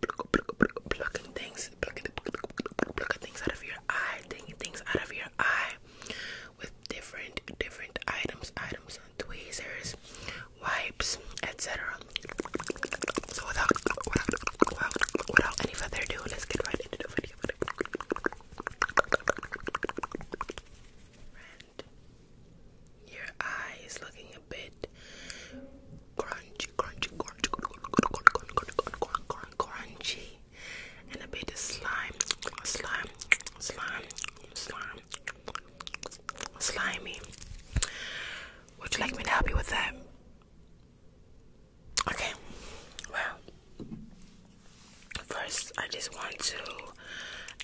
plucking things, plucking, things out of your eye, taking things out of your eye with different, different items, items, tweezers, wipes, etc. So without, without, without, without any further ado, let's get right into the video. your eye is looking a bit crunchy, crunchy, crunchy, crunchy, crunchy, and a bit of slime, slime, slime, slime, slimy. Would you like me to help you with that? Okay, well, first I just want to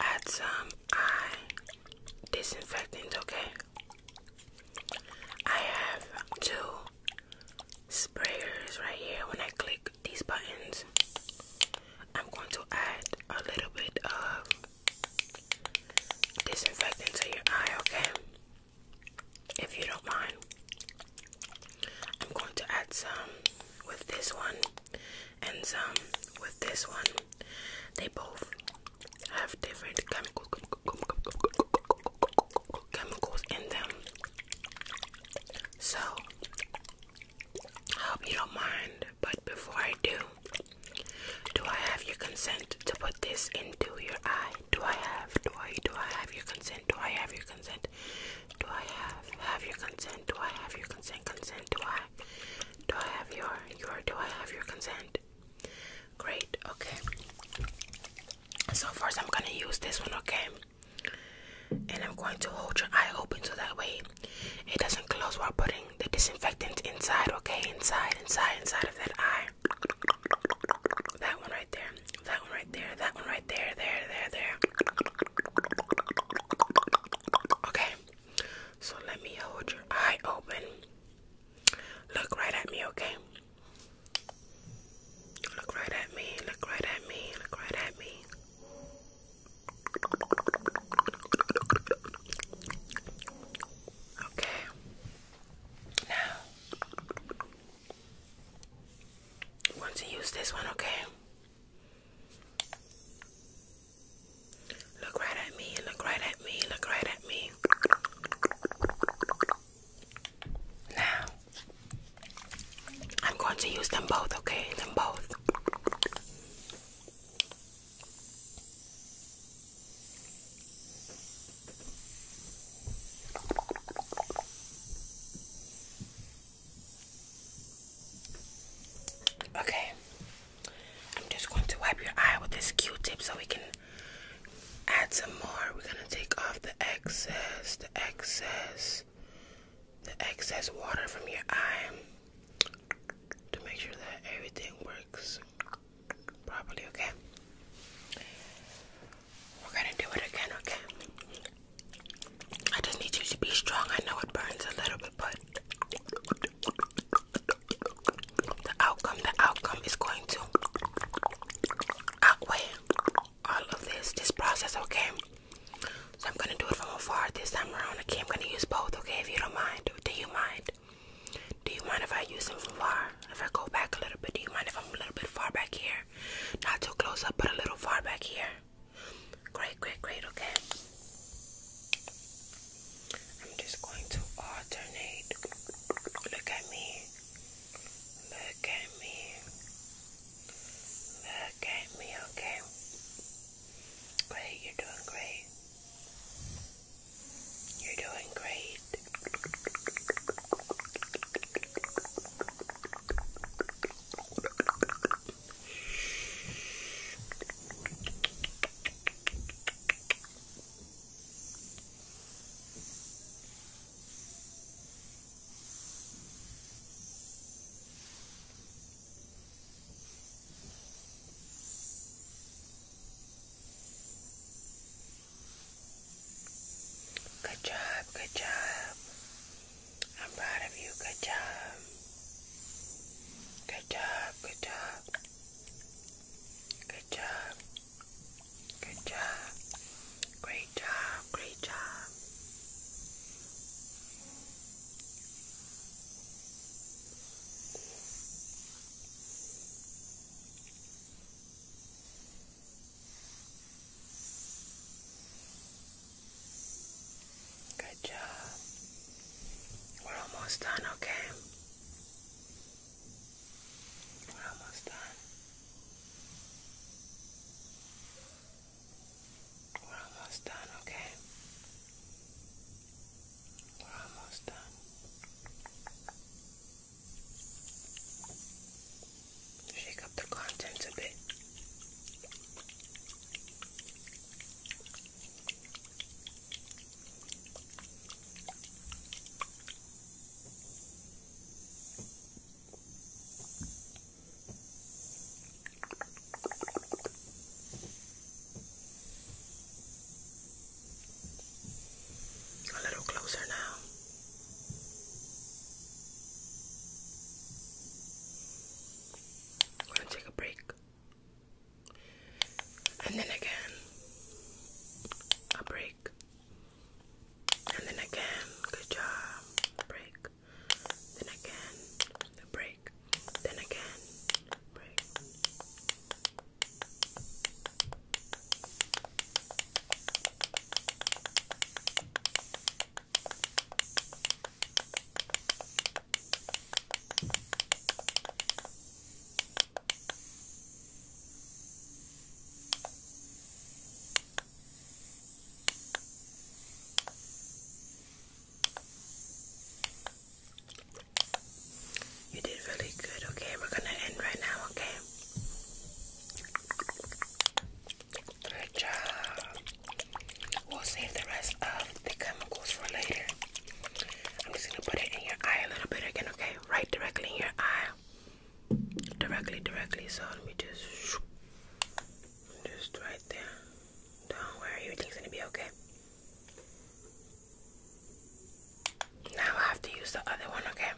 add some eye disinfectant, okay? I have two sprayers right here. When I click these buttons, I'm going to add a little bit of disinfectant to your eye, okay? If you don't mind, I'm going to add some with this one and some with this one. They both have different chemicals chemicals in them. So I hope you don't mind, but before I do, do I have your consent to put this into your eye? Do I have do I do I have your consent? Do I have your consent? Do I have have your consent? Do I have your consent? Consent? Do I do I have your your do I have your consent? Great, okay. So first I'm gonna use this one, okay? And I'm going to hold your eye open so that way it doesn't close while putting the disinfectant inside, okay? Inside, inside, inside of that eye. That one right there, that one right there, that one right there, there, there, there. Okay, so let me hold your eye open. Look right at me, okay? Look right at me, look right at me, look right at me. Okay. Now, want to use this one, okay? Look right at me, look right at me, look right at me. Now, I'm going to use them both, okay? Them both. Okay, I'm just going to wipe your eye with this Q tip so we can add some more. We're gonna take off the excess, the excess, the excess water from your eye to make sure that everything works properly, okay? We're gonna do it again, okay? I just need you to be strong. I know it burns a little bit, but the outcome, the outcome is going to outweigh all of this, this process, okay? So I'm gonna do it from afar this time around, okay? I'm gonna use both, okay? If you don't mind, do you mind? Do you mind if I use them from far? If I go back a little bit, do you mind if I'm a little bit far back here? Not too close up, but a little far back here. Great, great, great, okay? I'm just going to alternate. Look at me. Look at me. Look at me, okay? Great, you're doing great. You're doing great. Good job, good job. I'm proud of you. Good job. Good job, good job. Good job. Good job. Great job. Great job. Good job. We're almost done, okay? We're almost done. We're almost done, okay? We're almost done. Shake up the contents a bit. We're a little closer now. I'm gonna take a break. And then again, a break. And then again, good job. Break. Then again, break. Then again, break. You did really good, okay? We're gonna end right now, okay? Good job. We'll save the rest of the chemicals for later. I'm just gonna put it in your eye a little bit again, okay? Right directly in your eye directly, directly. So let me just, just right there, Don't worry, everything's gonna be okay. Now I have to use the other one, okay?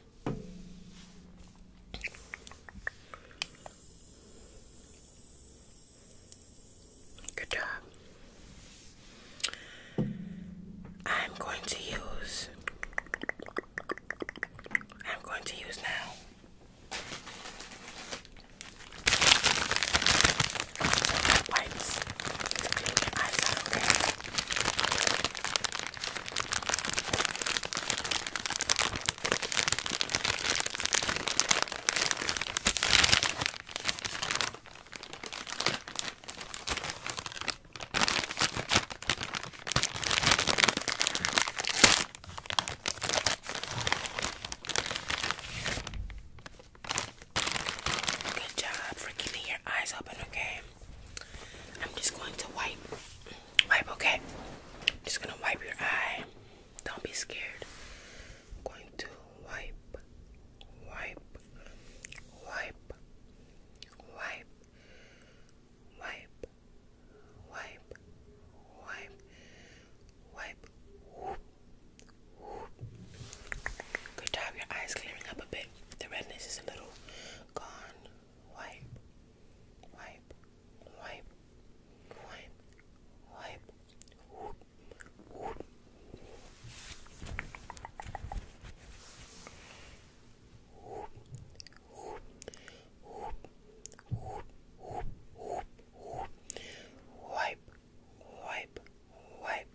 Good job. I'm going to use I'm going to use now. Wipes eyes out, Good job for keeping your eyes open, okay? I'm just going to wipe. Wipe, okay? just going to wipe your eye. Don't be scared. going to wipe, wipe, wipe, wipe, wipe, wipe, wipe, wipe, whoop, whoop. Good job, your eyes clearing up a bit. The redness is a little gone. Wipe, wipe, wipe, wipe, wipe, whoop, whoop whoop, whoop, whoop, whoop, whoop. Wipe, wipe, wipe,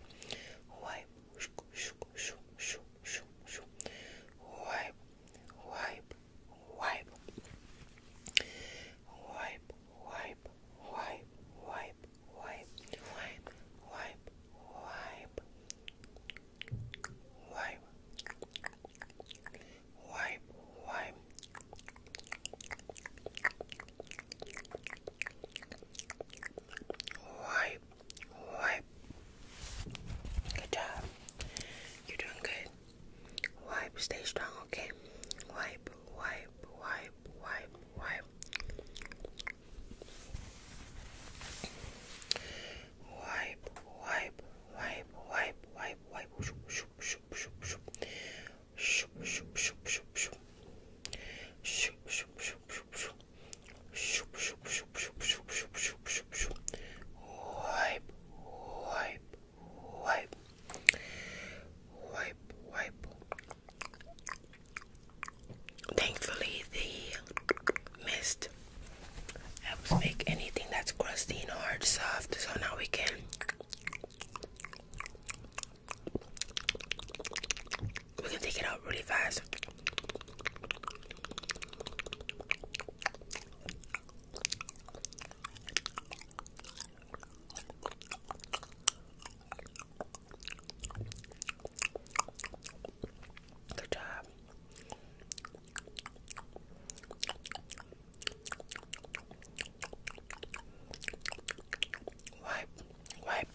wipe, shoo, shoo, shoo, shoo, shoo, shoo. wipe, wipe, wipe, wipe, wipe, wipe, wipe, wipe, wipe, wipe, wipe wipe, wipe, wipe. Wipe, wipe. Good job. You're doing good. Wipe, stay strong, okay? Wipe, wipe, wipe, wipe, wipe wipe, wipe, wipe, wipe, wipe, wipe, shoop, shoop, shoop, shoop, shoop, shoop, shoop, shoop, shoop, shoop, shoop, shoop, shoop, shoop, shoop. Shoop, shoop, shoop, shoop, shoop, shoop, shoop, shoop, shoop. Wipe, wipe, wipe, wipe, wipe. Thankfully, the mist helps make anything that's crusty and hard soft. So now we can we can take it out really fast. Good job. Wipe, wipe.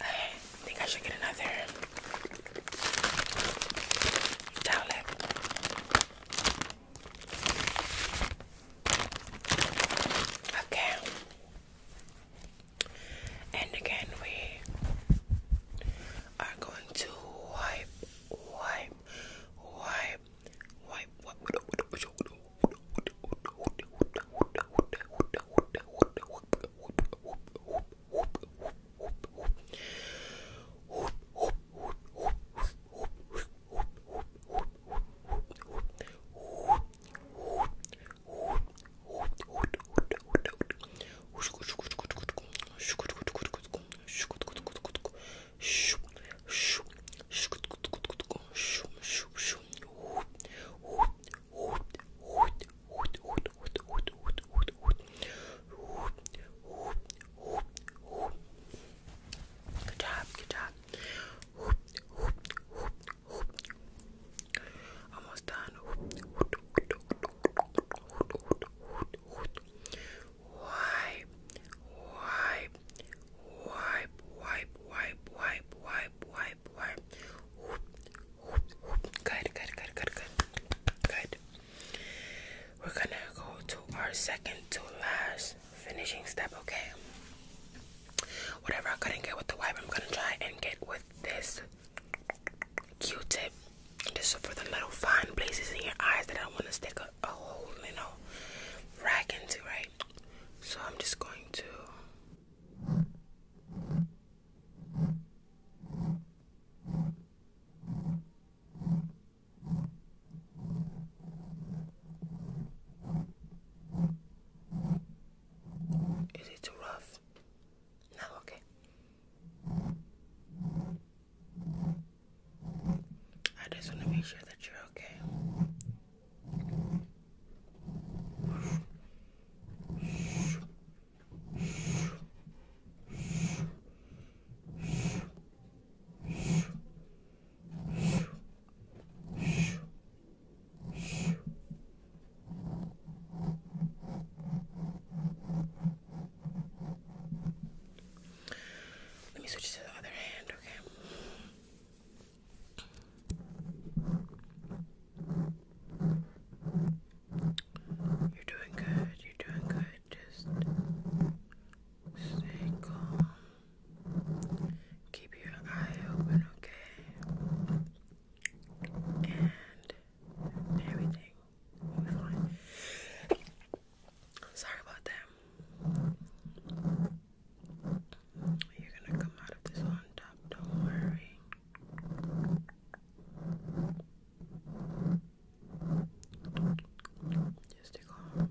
I think I should get another towelette. Okay and again we are going to wipe, wipe, wipe, wipe, wipe, Good job, good job. Hoop, hoop, hoop, hoop. Almost done. Wipe, wipe, wipe, wipe, wipe, wipe, wipe, wipe, wipe. Good, good, good, good, good, good. We're gonna go to our second to last finishing step, okay? Whatever I couldn't get with the wipe, I'm gonna try and get with this. Q-tip just for the little fine places in your eyes that I want to stick a, whole little rag into, right? So I'm just going to. Is it too rough? No, okay. I just want to make sure that you're okay. Let me switch to the other hand, okay? You're doing good, you're doing good. Just stay calm. Keep your eye open, okay? And everything will be fine. Sorry about that. You're gonna come out of this on top, don't worry. Just stick on.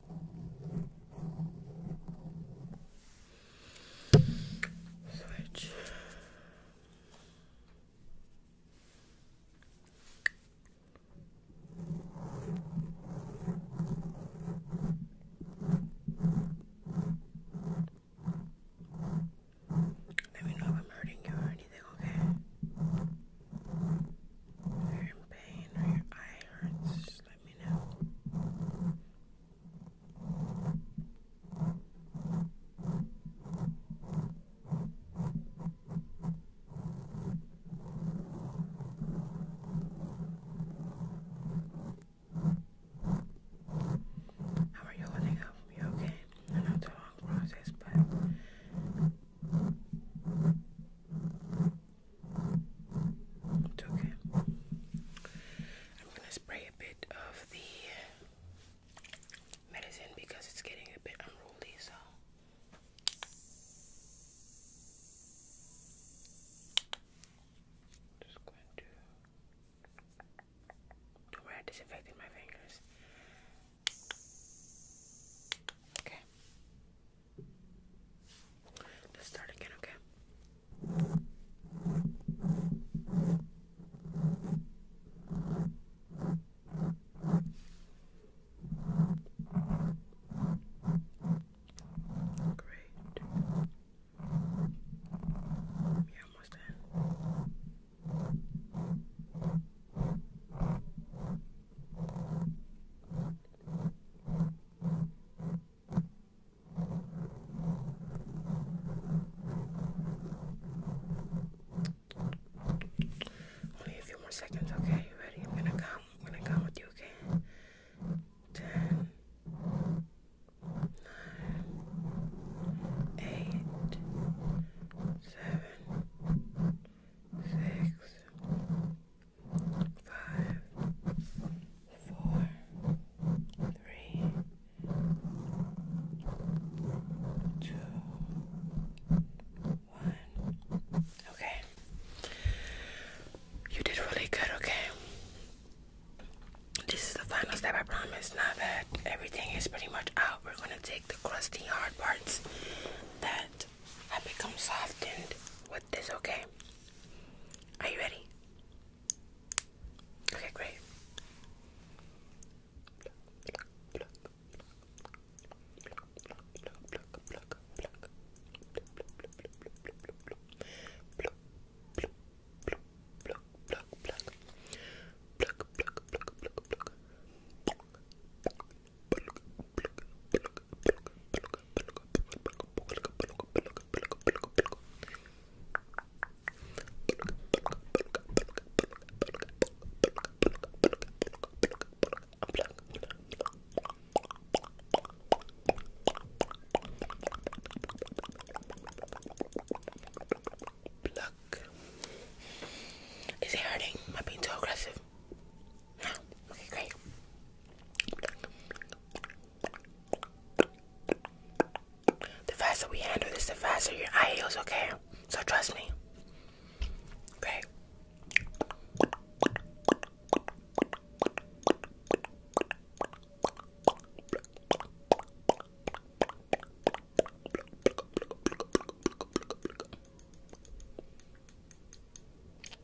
Switch. Let me know if I'm hurting you or anything, okay? you in pain or your eye hurts just let me know. How are you holding up? You okay? I know it's a long process, but okay. I'm gonna spray a bit of the medicine because it's getting a bit unruly, so. just going to. Don't worry, my fingers. Okay. Let's start again, okay? Great. You're almost there. Only a few more seconds, okay? You ready? I'm gonna come. I'm gonna come with you, okay? Ten, nine, eight, seven, six, five, four, three, two, one. Okay. You did really good, okay? This is the final step, I promise. Now that everything is pretty much out, we're gonna take the crusty hard parts that have become softened with this, okay? Are you ready? Okay, great. Is it hurting? Am I being too aggressive? The faster we handle this, the faster your eye heals, okay? So trust me. Okay.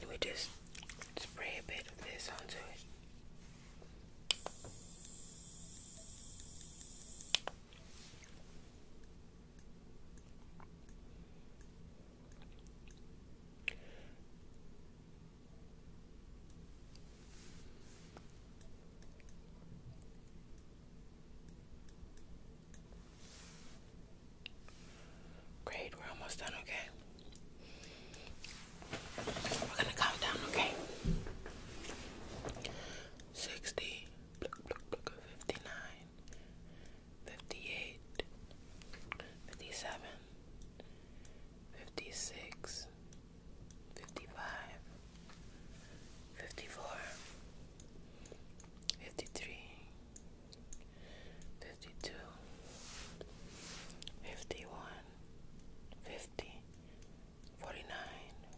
Let me just spray a bit of this onto it. Great, we're almost done, okay? We're gonna count down, okay? 60, 58 57 56 55 54 53 52 51 49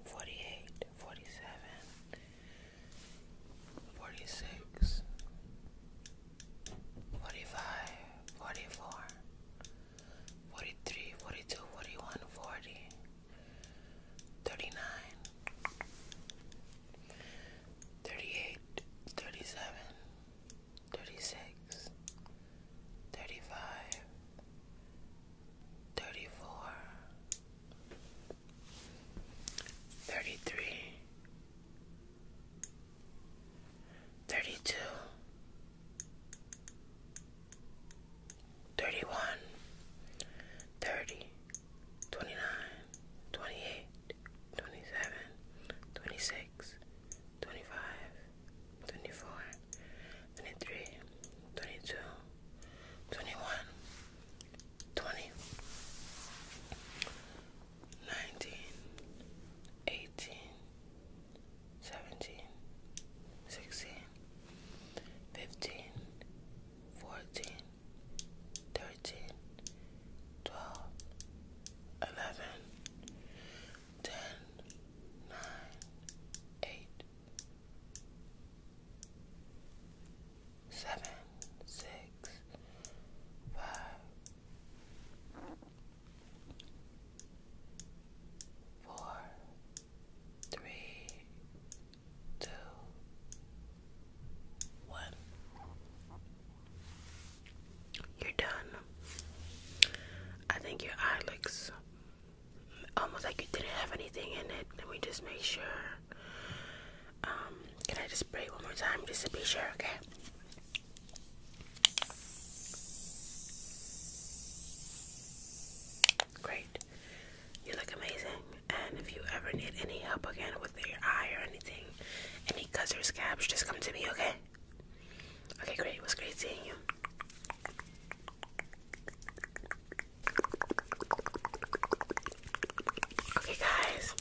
48 47 forty six, forty five, forty four, forty three, forty two, forty one, forty, thirty nine, thirty eight, thirty seven, thirty six, thirty five. 34 Thirty-three, thirty-two, thirty-one, thirty, twenty-nine, twenty-eight, twenty-seven, twenty-six, twenty-five, twenty-four, twenty-three, twenty-two, twenty-one, 20, 19, 18, 17, 16, 15, 14, 13, 12, 11, 10, 9, 8, 7 six, five, four, three, two, one. You're done. I think your eye looks almost like you didn't have anything in it. Let me just make sure. Um, can I just spray one more time just to be sure? Okay. Great. You look amazing. And if you ever need any help again with your eye or anything, any cuts or scabs, just come to me, okay? Okay, great. It was great seeing you. Okay, guys